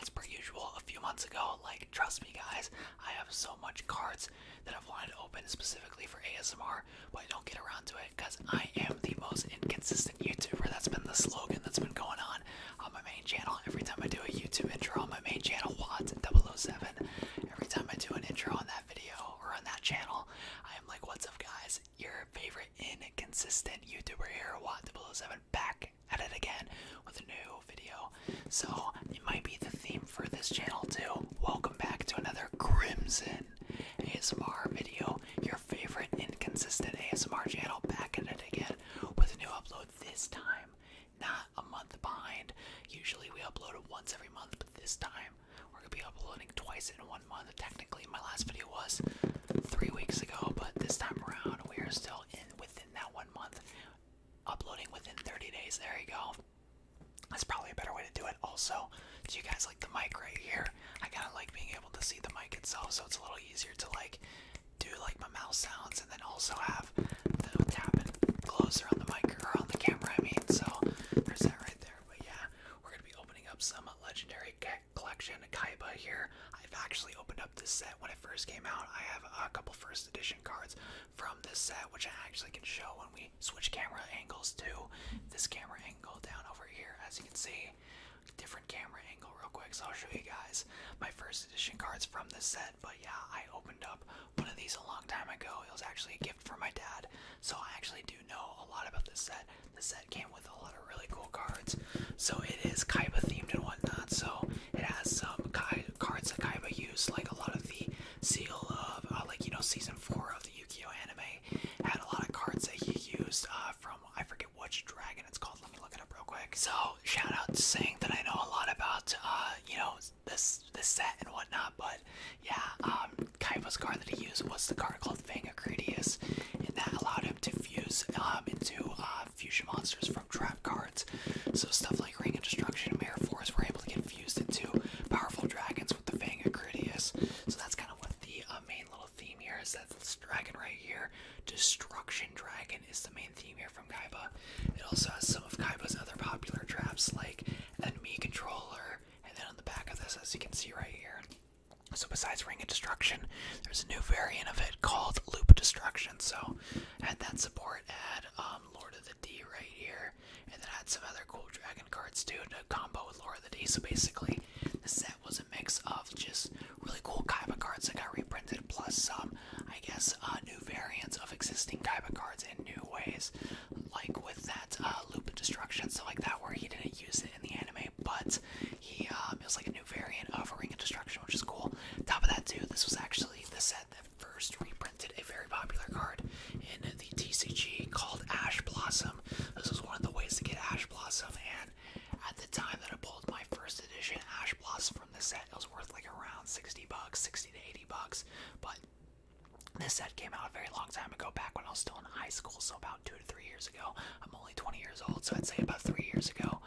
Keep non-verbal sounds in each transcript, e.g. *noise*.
as per usual a few months ago. Like, trust me, guys, I have so much cards that I've wanted to open specifically for ASMR, but I don't get around to it because I am the most inconsistent YouTuber. That's been the slogan that's been going on on my main channel. Every time I do a YouTube intro on my main channel, Watt007, every time I do an intro on that video or on that channel, I am like, what's up, guys? Your favorite inconsistent YouTuber here, Watt007 back at it again with a new video. So it might be the theme for this channel too. Welcome back to another Crimson ASMR video. Your favorite inconsistent ASMR channel back at it again with a new upload this time. Not a month behind. Usually we upload it once every month, but this time we're gonna be uploading twice in one month. Technically my last video was three weeks ago, but this time around we are still in with that one month, uploading within 30 days. There you go. That's probably a better way to do it. Also, do you guys like the mic right here? I kind of like being able to see the mic itself, so it's a little easier to like do like my mouth sounds and then also have the tapping closer on the mic or on the camera. I mean, so there's that right there. But yeah, we're gonna be opening up some legendary collection. Kaiba here. I've actually opened up this set when it first came out. I have a couple first edition cards from this set, which I actually can show when we switch camera angles to this camera angle down over here. As you can see, different camera angle real quick. So I'll show you guys my first edition cards from this set. But yeah, I opened up one of these a long time ago. It was actually a gift from my dad. So I actually do know a lot about this set. The set came with a lot of really cool cards. So it is Kaiba themed and whatnot. So it has some cards that Kaiba used, like a lot of the seal of, uh, like, you know, season four of the Yu-Gi-Oh anime had a lot of cards that he used uh, from, I forget which dragon it's called. Let me look it up real quick. So shout out to saying that I know a lot about, uh, you know, this this set and whatnot, but yeah, um, Kaiba's card that he used was the card called Fang Acridius, and that allowed him to fuse um, into fusion monsters from trap cards. So stuff like Ring of Destruction and Mare Force were able to get fused into powerful dragons with the Fang of Acridius. So that's kind of what the uh, main little theme here is. That this dragon right here, Destruction Dragon, is the main theme here from Kaiba. It also has some of Kaiba's other popular traps like Enemy Controller, and then on the back of this, as you can see right here. So besides Ring of Destruction, there's a new variant of it called Loop Destruction. So had that support, had um, Lord of the D right here, and then had some other cool dragon cards too to combo with Lord of the D. So basically, the set was a mix of just really cool Kaiba cards that got reprinted, plus some, I guess, uh, new variants of existing Kaiba cards in new ways, like with that uh, Loop Destruction, So like that, where he didn't use it in the anime, but he um, it was like a new variant of Ring of Destruction, which is cool. Top of that too, this was actually the set that first reprinted a very popular card in the TCG called Ash Blossom. This was one of the ways to get Ash Blossom, and at the time that I pulled my first edition Ash Blossom from this set, it was worth like around 60 bucks, 60 to 80 bucks. But this set came out a very long time ago, back when I was still in high school, so about two to three years ago. I'm only 20 years old, so I'd say about three years ago,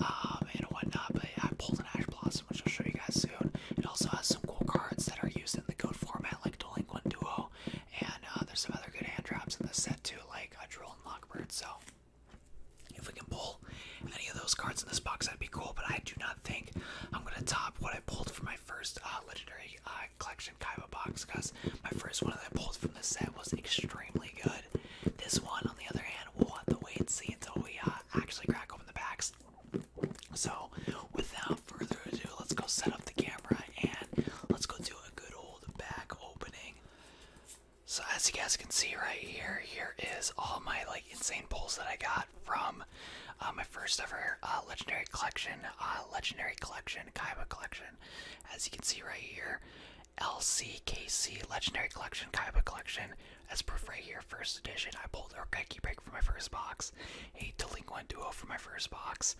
um, and whatnot. But I pulled an Ash Blossom, which I'll show you guys soon. It also has some cool cards that are used in the code format, like Delinquent Duo, and uh, there's some other good hand drops in the set too, like a Drill and Lockbird. So if we can pull any of those cards in this box, that'd be cool. But I do not think I'm gonna top what I pulled for my first uh, legendary uh, collection Kaiba box, because my first one that I pulled from the set was extremely good. This one, on the other hand, we'll have to wait and see until we uh, actually crack open the packs. So, without further ado, let's go set up the camera and let's go do a good old back opening. So, as you guys can see right here, here is all my like insane pulls that I got from uh, my first ever uh, legendary collection, legendary collection, Kaiba collection. As you can see right here, LCKC Legendary Collection, Kaiba Collection, as proof right here, first edition. I pulled Urgeki Break from my first box, a Delinquent Duo for my first box,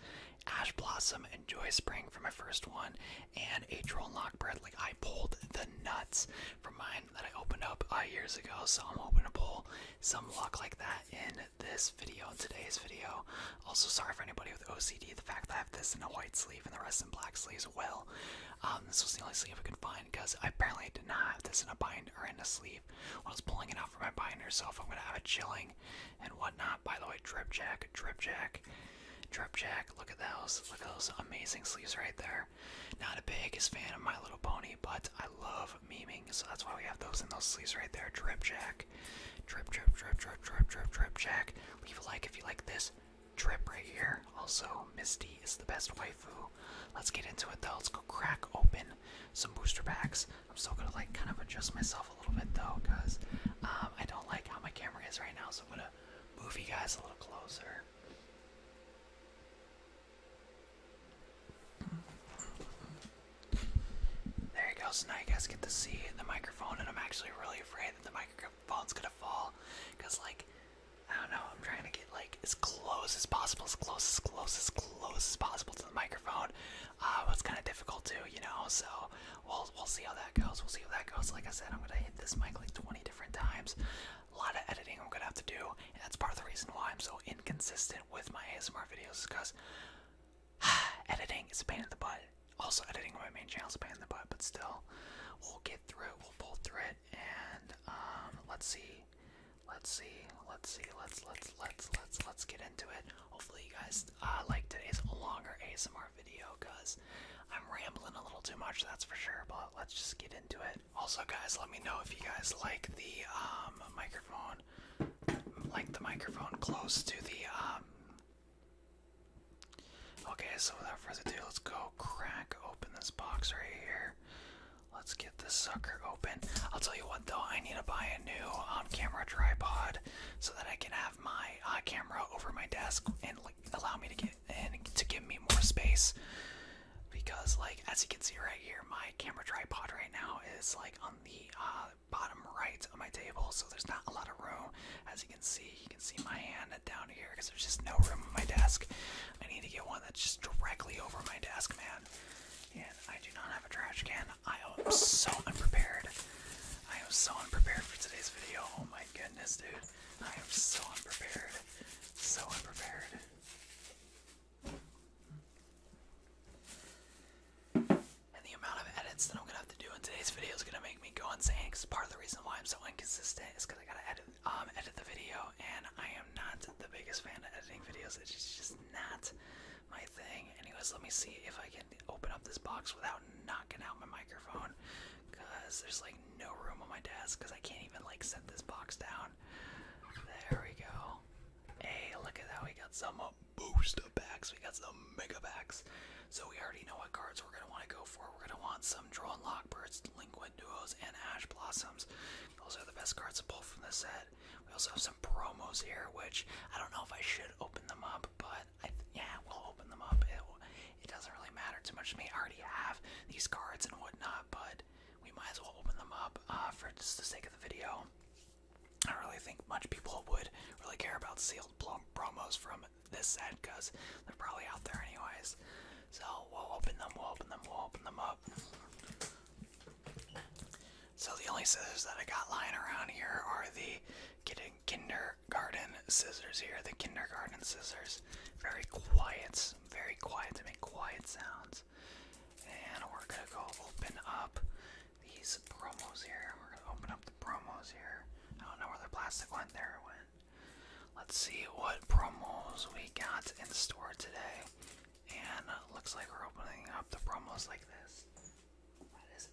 Ash Blossom and Joy Spring for my first one, and a Troll Lock Bread. Like, I pulled the nuts from mine that I opened up uh, years ago, so I'm hoping to pull some luck like that in this video, today's video. Also, sorry for anybody with OCD, the fact that this in a white sleeve and the rest in black sleeves. Well, um, this was the only sleeve I could find because I apparently did not have this in a bind or in a sleeve when I was pulling it out from my binder. So I'm gonna have a chilling and whatnot, by the way, drip jack, drip jack, drip jack. Look at those, look at those amazing sleeves right there. Not a biggest fan of My Little Pony, but I love memeing, so that's why we have those in those sleeves right there. Drip jack, drip, drip, drip, drip, drip, drip jack. Leave a like if you like this Trip right here. Also, Misty is the best waifu. Let's get into it though. Let's go crack open some booster packs. I'm still gonna like kind of adjust myself a little bit though, cause um, I don't like how my camera is right now. So I'm gonna move you guys a little closer. There you go. So now you guys get to see the microphone, and I'm actually really afraid that the microphone phone's gonna fall. Cause like, I don't know, I'm trying to get like as close as possible, as close as close as close as possible to the microphone. Uh, but it's kind of difficult too, you know. So we'll we'll see how that goes. We'll see how that goes. Like I said, I'm gonna hit this mic like 20 different times. A lot of editing I'm gonna have to do, and that's part of the reason why I'm so inconsistent with my ASMR videos, because *sighs* editing is a pain in the butt also editing my main channel is a pain in the butt, but still, we'll get through it. We'll pull through it, and um, let's see, let's see, let's see, let's let's let's let's let's get into it. Hopefully, you guys uh, today's longer ASMR video, cause I'm rambling a little too much, that's for sure. But let's just get into it. Also, guys, let me know if you guys like the um, microphone, like the microphone close to the um, Okay, so without further ado, let's go crack open this box right here. Let's get this sucker open. I'll tell you what though, I need to buy a new on-camera tripod so that I can have my uh, camera over my desk and allow me to get and to give me more space. Because like as you can see right here, my camera tripod right now is like on the uh, bottom right of my table, so there's not a lot of room. As you can you can see, you can see my hand down here because there's just no room on my desk. I need to get one that's just directly over my desk, man. And I do not have a trash can. I am so unprepared. I am so unprepared for today's video. Oh my goodness, dude. I am so unprepared. So unprepared. And the amount of edits that I'm gonna have to do in today's video is gonna make me go insane. Cause part of the reason why I'm so inconsistent is because I gotta edit, um, edit the video, and I am not the biggest fan of editing videos. It's just not my thing. Anyways, let me see if I can open up this box without knocking out my microphone, cause there's like no room on my desk, cause I can't even like set this box down. There we go. Hey, look at how We got some booster packs. We got some mega packs. So we already know what cards we're going to want to go for. We're going to want some Droll and Lockbirds, Delinquent Duos, and Ash Blossoms. Those are the best cards to pull from the set. We also have some promos here, which I don't know if I should open them up, but I th yeah, we'll open them up. It, doesn't really matter too much to me. already have these cards and whatnot, but we might as well open them up uh, for just the sake of the video. I don't really think much people would really care about sealed promos from this set because they're probably out there anyways. So we'll open them, we'll open them, we'll open them up. So the only scissors that I got lying around here are the kindergarten scissors here, the kindergarten scissors. Very quiet, very quiet to make quiet sounds. And we're gonna go open up these promos here. We're gonna open up the promos here. I don't know where the plastic went, there went. Let's see what promos we got in store today. And uh, looks like we're opening up the promos like this. That is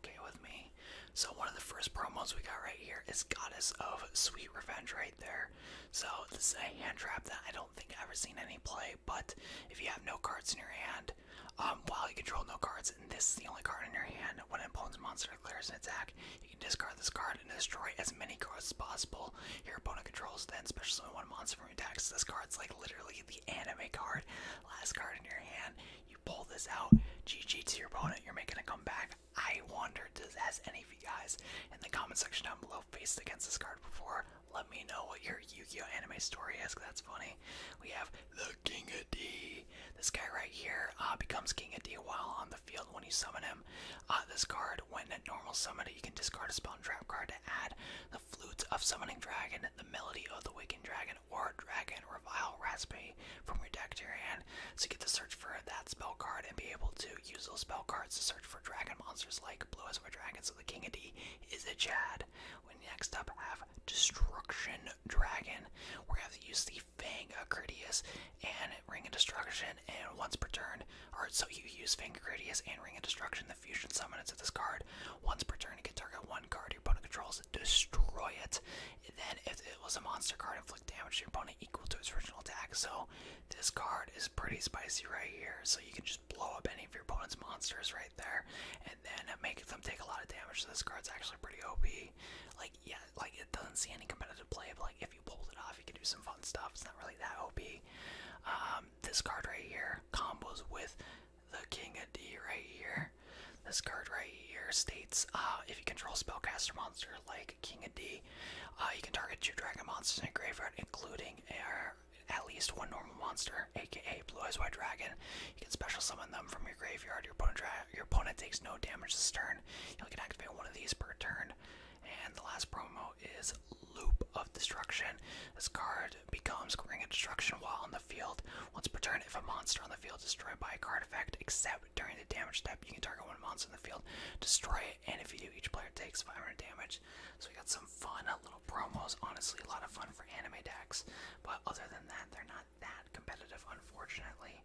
okay with me. So one of the first promos we got right here is Goddess of Sweet Revenge right there. So this is a hand trap that I don't think I've ever seen any play, but if you have no cards in your hand, um, while you control no cards, and this is the only card in your hand, when an opponent's monster declares an attack, you can discard this card and destroy as many cards as possible. Your opponent controls then special summon one monster from your deck. So this card's like literally the anime card. Last card in your hand, you pull this out, GG to your opponent, you're making a comeback. I wonder, does has any of you guys in the comment section down below faced against this card before? Let me know what your Yu-Gi-Oh anime story is, cause that's funny. We have the King of D. This guy right here uh, becomes King of D while on the field when you summon him. Uh, this card, when at normal summoned, you can discard a spell and trap card to add the Flutes of Summoning Dragon, the Melody of the Waking Dragon, or Dragon Revile Raspberry from your deck to your hand. So you get to search for that spell card and be able to use those spell cards to search for dragon monsters like Blue Eyes of a Dragon. So the King of D is a Chad. When next up have Destruction Dragon. We're gonna have to use the Fang Acridius and Ring of Destruction, and once per turn, or so you use Fang Acridius and Ring of Destruction, the fusion summon of this card. Once per turn, you can target one card your opponent controls, destroy it. Then, if it was a monster card, inflict damage to your opponent equal to its original attack. So, this card is pretty spicy right here. So, you can just blow up any of your opponent's monsters right there and then it them take a lot of damage. So this card's actually pretty OP. Like yeah, like it doesn't see any competitive play, but like if you pull it off, you can do some fun stuff. It's not really that OP. Um, this card right here combos with the King of D right here. This card right here states uh, if you control spellcaster monster like King of D, uh, you can target two dragon monsters in a graveyard, including uh, at least one normal monster, aka Blue Eyes White Dragon. You can special summon them from your graveyard. Your opponent your opponent takes no damage this turn. You can activate one of these per turn. And the last promo is Loop of Destruction. This card becomes Ring of Destruction while on the field. Once per turn, if a monster on the field is destroyed by a card effect, except during the damage step, you can target one monster on the field, destroy it, and if you do, each player takes 500 damage. So we got some fun little promos. Honestly, a lot of fun for anime decks. But other than that, they're not that competitive, unfortunately.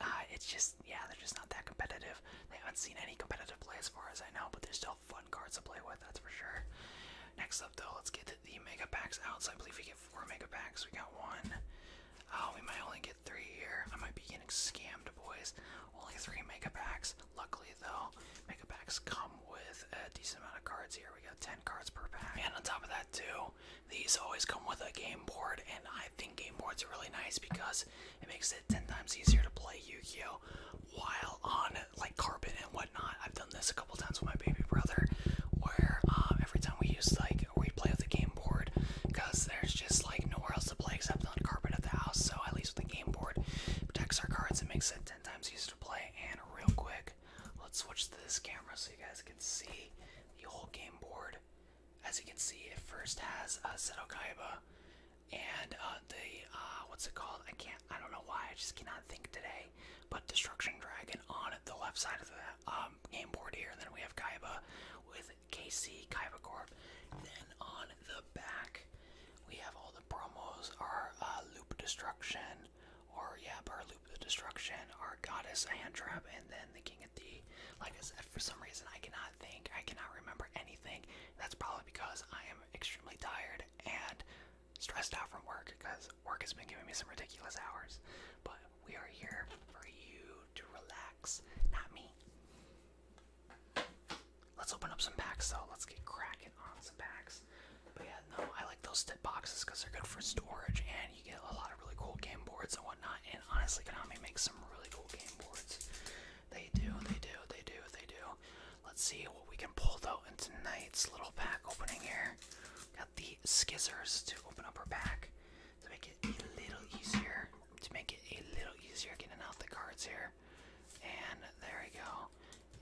Uh, it's just, yeah, they're just not that competitive. They haven't seen any competitive play as far as I know, but they're still fun cards to play with, that's for sure. Next up, though, let's get the mega packs out. So I believe we get four mega packs. We got one. Oh, we might only get three here. I might be getting scammed, boys. Only three mega packs. Luckily, though, mega packs come with a decent amount of cards here. We got 10 cards per pack. And on top of that, too, these always come with a game board, and I think game boards are really nice because it makes it ten times easier to play Yu-Gi-Oh! while on like carpet and whatnot. I've done this a couple times with my baby brother, where um, every time we use like we play with the game board, because there's just like nowhere else to play except on the carpet of the house. So at least with the game board, it protects our cards and makes it ten times easier to play. And real quick, Let's switch to this camera so you guys can see the whole game board. As you can see, it first has a uh, Seto Kaiba and uh, the uh, what's it called? I can't. I don't know why. I just cannot think today. But Destruction Dragon on the left side of the um, game board here, and then we have Kaiba with KC Kaiba Corp. Then on the back, we have all the promos: our uh, Loop Destruction, or yeah, our Loop of Destruction, our Goddess Hand Trap, and then the King of the. Like I said, for some reason I cannot think, I cannot remember anything. That's probably because I am extremely tired and stressed out from work because work has been giving me some ridiculous hours. But we are here for you to relax, not me. Let's open up some packs though. Let's get cracking on some packs. But yeah, no, I like those tip boxes because they're good for storage and you get a lot of really cool game boards and whatnot. And honestly, Konami makes some really cool game boards. They do, they do, they do, they do. Let's see what we can pull though in tonight's little pack opening here. Got the skizzers to open up our pack to make it a little easier. To make it a little easier getting out the cards here. And there we go.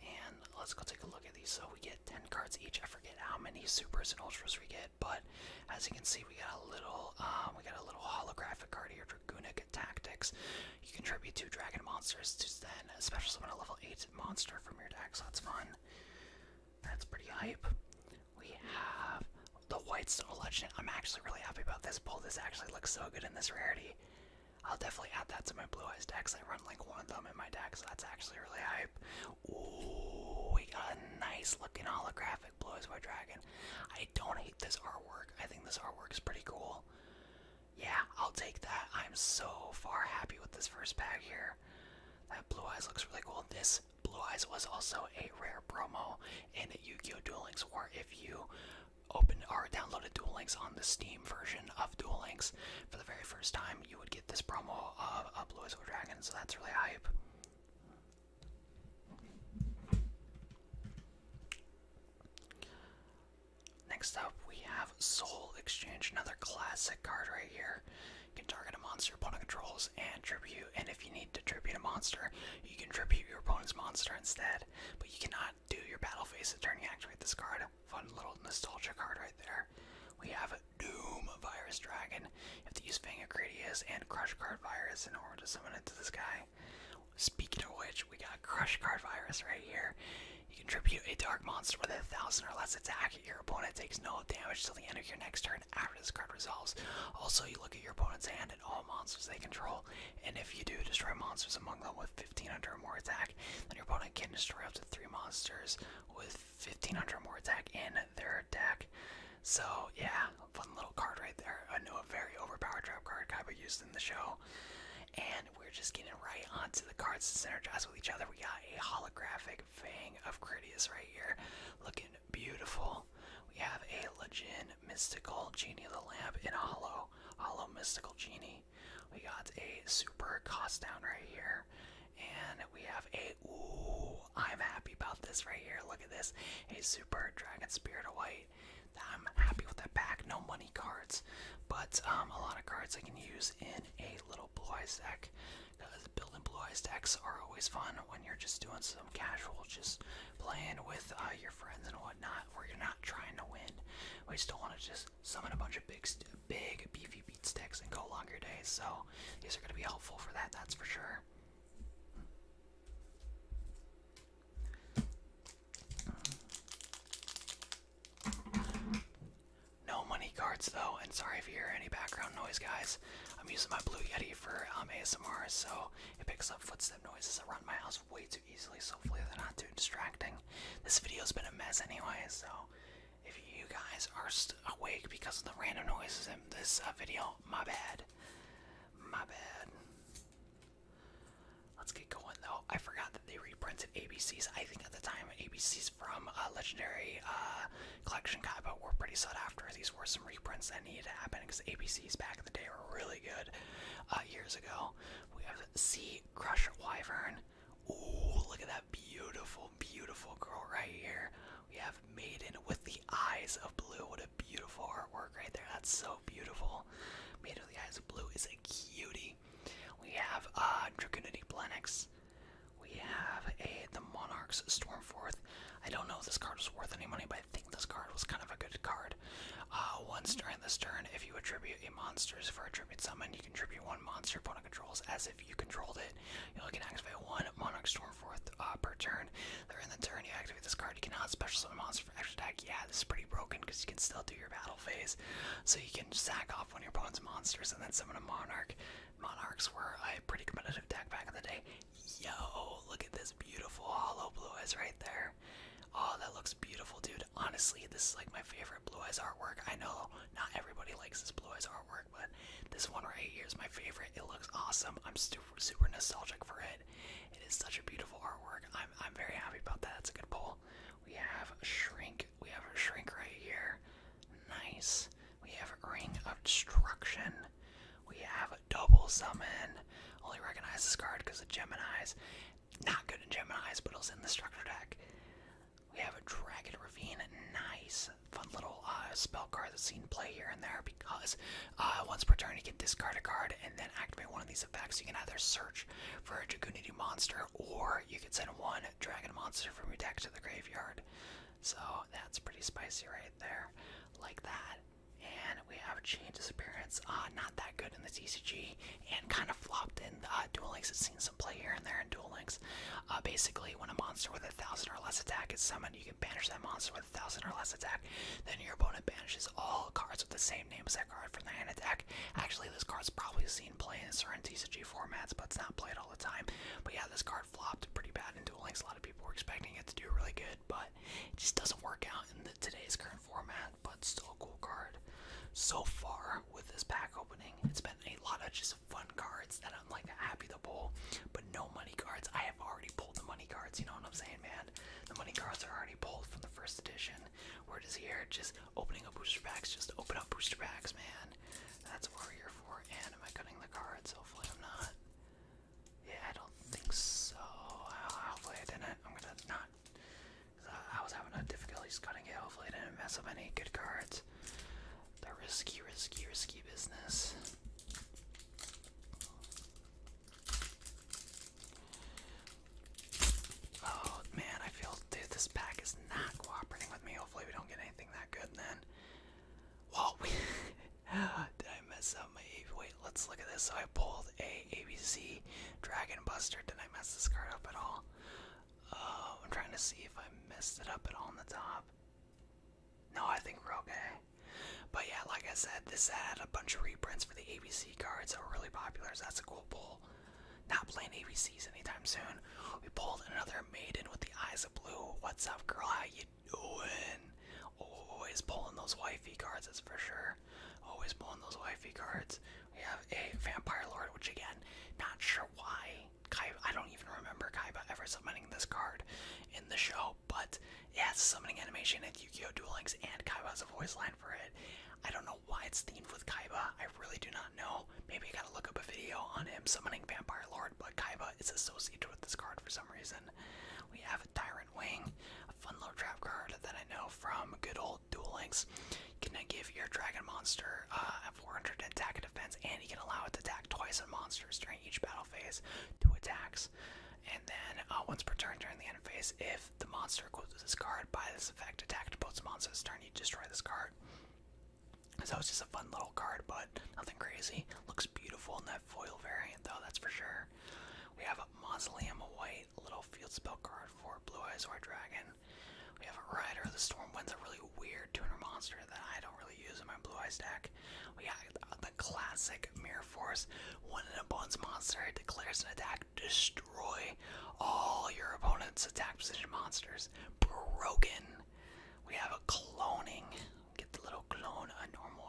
And let's go take a look at these. So we get 10 cards each. I forget how many supers and ultras we get, but as you can see, we got a little, um, we got a little holographic card here, Dragoonic Tactics. You contribute two dragon monsters to then special summon a level 8 monster from your deck, so that's fun. That's pretty hype. We have the White Snow Legend. I'm actually really happy about this pull. This actually looks so good in this rarity. I'll definitely add that to my Blue Eyes decks. I like one of in my deck, so that's actually really hype. Ooh, we got a nice looking holographic Blue eyes white Dragon. I don't hate this artwork. I think this artwork is pretty cool. Yeah, I'll take that. I'm so far happy with this first pack here. That Blue Eyes looks really cool. This Blue Eyes was also a rare promo in Yu-Gi-Oh! Duel Links War. If you opened or downloaded Duel Links on the Steam version of Duel Links for the very first time, you would get this promo of a Blue Whistle Dragon, so that's really hype. Next up, we have Soul Exchange, another classic card right here. You can target a monster opponent controls and tribute, and if you need to tribute a monster, you can tribute your opponent's monster instead, but you cannot do your battle phase the turn you activate this card. Fun little nostalgia card right there. We have Doom Virus Dragon. You have to use Fang Acridius and Crush Card Virus in order to summon it to this guy. Speaking of which, we got Crush Card Virus right here. You contribute a dark monster with a thousand or less attack. Your opponent takes no damage until the end of your next turn after this card resolves. Also, you look at your opponent's hand and all monsters they control, and if you do destroy monsters among them with 1500 or more attack, then your opponent can destroy up to three monsters with 1500 more attack in their deck. So yeah, fun little card right there. I know a very overpowered trap card we used in the show. And we're just getting right onto the cards to synergize with each other. We got a holographic Fang of Critias right here, looking beautiful. We have a Legend Mystical Genie of the Lamp in a Hollow, Hollow Mystical Genie. We got a super cost down right here. And we have a ooh, I'm happy about this right here. Look at this. A super dragon spirit of white. I'm happy with that pack. No money cards, but um, a lot of cards I can use in a little blue eyes deck. Because building blue eyes decks are always fun when you're just doing some casual, just playing with uh, your friends and whatnot, where you're not trying to win. We just don't want to just summon a bunch of big stuff big beefy beat sticks and go longer days. So these are going to be helpful for that, that's for sure. No money cards though, and sorry if you hear any background noise, guys. I'm using my Blue Yeti for um, ASMR, so it picks up footstep noises around my house way too easily. So hopefully they're not too distracting. This video's been a mess anyway, so if you guys are awake because of the random noises in this uh, video, my bad. My bad. Let's get going though. I forgot that they reprinted ABCs. I think at the time ABCs from Legendary uh, Collection Kaiba were pretty sought after. These were some reprints that needed to happen because ABCs back in the day were really good uh, years ago. We have C Crush Wyvern. Ooh, look at that beautiful, beautiful girl right here. We have Maiden with the eyes of blue. What a beautiful artwork right there. That's so beautiful. Maiden with the eyes of blue is a cutie. We have uh, Dracoonity Blenix. We have a the Monarchs Stormforth. I don't know if this card was worth any money, but I think this card was kind of a good card. Uh, once during this turn, if you attribute a monsters for a tribute summon, you can tribute one one monster opponent controls as if you controlled it. You can activate one Monarch Storm forth uh, per turn. They're in the turn, you activate this card. You cannot special summon monsters for extra attack. Yeah, this is pretty broken because you can still do your battle phase. So you can sack off one of your opponent's monsters and then summon a Monarch. Monarchs were a pretty competitive deck back in the day. Yo, look at this beautiful hollow blue eyes right there. Oh, that looks beautiful, dude. Honestly, this is like my favorite Blue Eyes artwork. I know not everybody likes this Blue Eyes artwork, but this one right here is my favorite. It looks awesome. I'm super, super nostalgic for it. It is such a beautiful artwork. I'm, I'm very happy about that. That's a good pull. We have Shrink. We have a Shrink right here. Nice. We have Ring of Destruction. We have Double Summon. Only recognize this card because of Gemini's. Not good in Gemini's, but it's in the structure deck. We have a Dragon Ravine. Nice. Fun little uh, spell card that's seen play here and there because uh, once per turn you can discard a card and then activate one of these effects. You can either search for a Dragoonity monster or you can send one dragon monster from your deck to the graveyard. So that's pretty spicy right there. Like that. And we have Change's appearance. Uh, not that good in the TCG and kind of flopped in uh, Duel Links. It's seen some play here and there in Duel Links. Uh, basically, when a monster with a thousand or less attack is summoned, you can banish that monster with a thousand or less attack. Then your opponent banishes all cards with the same name as that card from their hand attack. Actually, this card's probably seen play in certain TCG formats, but it's not played all the time. But yeah, this card flopped pretty bad in Duel Links. A lot of people were expecting it to do really good, but it just doesn't work out in today's current format. But still a cool card so far with this pack opening. It's been a lot of just fun cards that I'm like happy to pull, but no money cards. I have already pulled the money cards, you know what I'm saying, man? The money cards are already pulled from the first edition. We're just here just opening up booster packs, just open up booster packs, man. That's what we're here for. And am I cutting the cards? Hopefully I'm not. Yeah, I don't think so. Hopefully I didn't. I'm gonna not I, was having a difficulties cutting it. Hopefully, I didn't mess up any good cards. The risky, risky, risky business. Oh man, I feel, dude, this pack is not cooperating with me. Hopefully, we don't get anything that good then. Whoa, *laughs* did I mess up my Wait, let's look at this. So I pulled a ABC Dragon Buster. Did I mess this card up at all? Uh, I'm trying to see if I messed it up at all on the top. No, I think we're okay. But yeah, like I said, this had a bunch of reprints for the ABC cards that were really popular, so that's a cool pull. Not playing ABCs anytime soon. We pulled another maiden with the eyes of blue. What's up, girl? How you doing? Always pulling those wifey cards, that's for sure. Always pulling those wifey cards. We have a Vampire Lord, which again, not sure why I don't even remember Kaiba ever summoning this card in the show, but it has summoning animation at Yu-Gi-Oh! Duel Links, and Kaiba has a voice line for it. I don't know why it's themed with Kaiba, I really do not know. Maybe I gotta look up a video on him summoning Vampire Lord, but Kaiba is associated with this card for some reason. We have a Tyrant Wing, a fun little trap card that I know from good old called Duel Links. You can give your dragon monster uh, a 400 attack and defense, and you can allow it to attack twice on monsters during each battle phase, two attacks. And then uh, once per turn during the end phase, if the monster goes this card by this effect, attacked opponent's monster's turn, you destroy this card. So it's just a fun little card, but nothing crazy. Looks beautiful in that foil variant, though, that's for sure. We have a Mausoleum White little field spell card for Blue Eyes or Dragon. We have a Rider the Stormwind's a really weird tuner monster that I don't really use in my Blue Eyes deck. We got the classic Mirror Force. One in a bones monster it declares an attack, destroy all your opponent's attack position monsters. Broken. We have a cloning. Get the little clone, a normal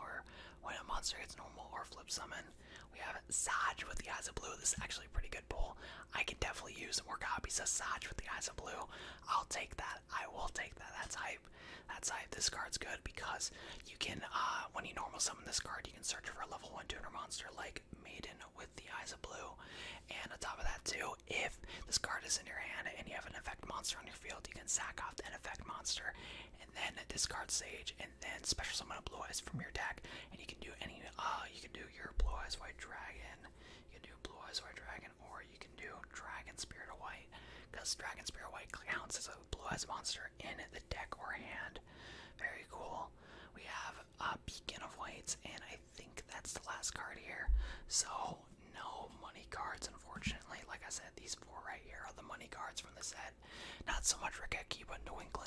when a monster gets normal or flip summon. We have have Saj with the Eyes of Blue. This is actually a pretty good pull. I can definitely use more copies of Saj with the Eyes of Blue. I'll take that. I will take that. That's hype. That's hype. This card's good because you can, uh, when you normal summon this card, you can search for a level 1 tuner monster like Maiden with the Eyes of Blue. And on top of that, too, if this card is in your hand and you have an effect monster on your field, you can sack off that effect monster and then discard Sage and then special summon a Blue Eyes from your deck. And you can do any, uh, you can do do your Blue Eyes White Dragon. You can do Blue Eyes White Dragon, or you can do Dragon Spirit White, because Dragon Spirit White counts as a Blue Eyes monster in the deck or hand. Very cool. We have a Beacon of white, and I think that's the last card here. So no money cards, unfortunately. Like I said, these four right here are the money cards from the set. Not so much Rakeki, but New England.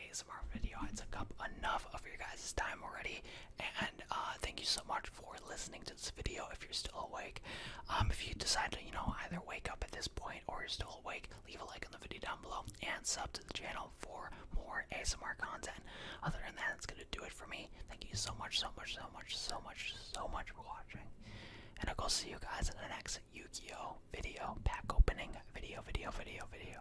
ASMR video. I took up enough of your guys' time already, and uh, thank you so much for listening to this video. If you're still awake, um, if you decide to, you know, either wake up at this point or you're still awake, leave a like on the video down below and sub to the channel for more ASMR content. Other than that, it's gonna do it for me. Thank you so much, so much, so much, so much, so much for watching, and I'll go see you guys in the next yu video pack opening video, video, video, video.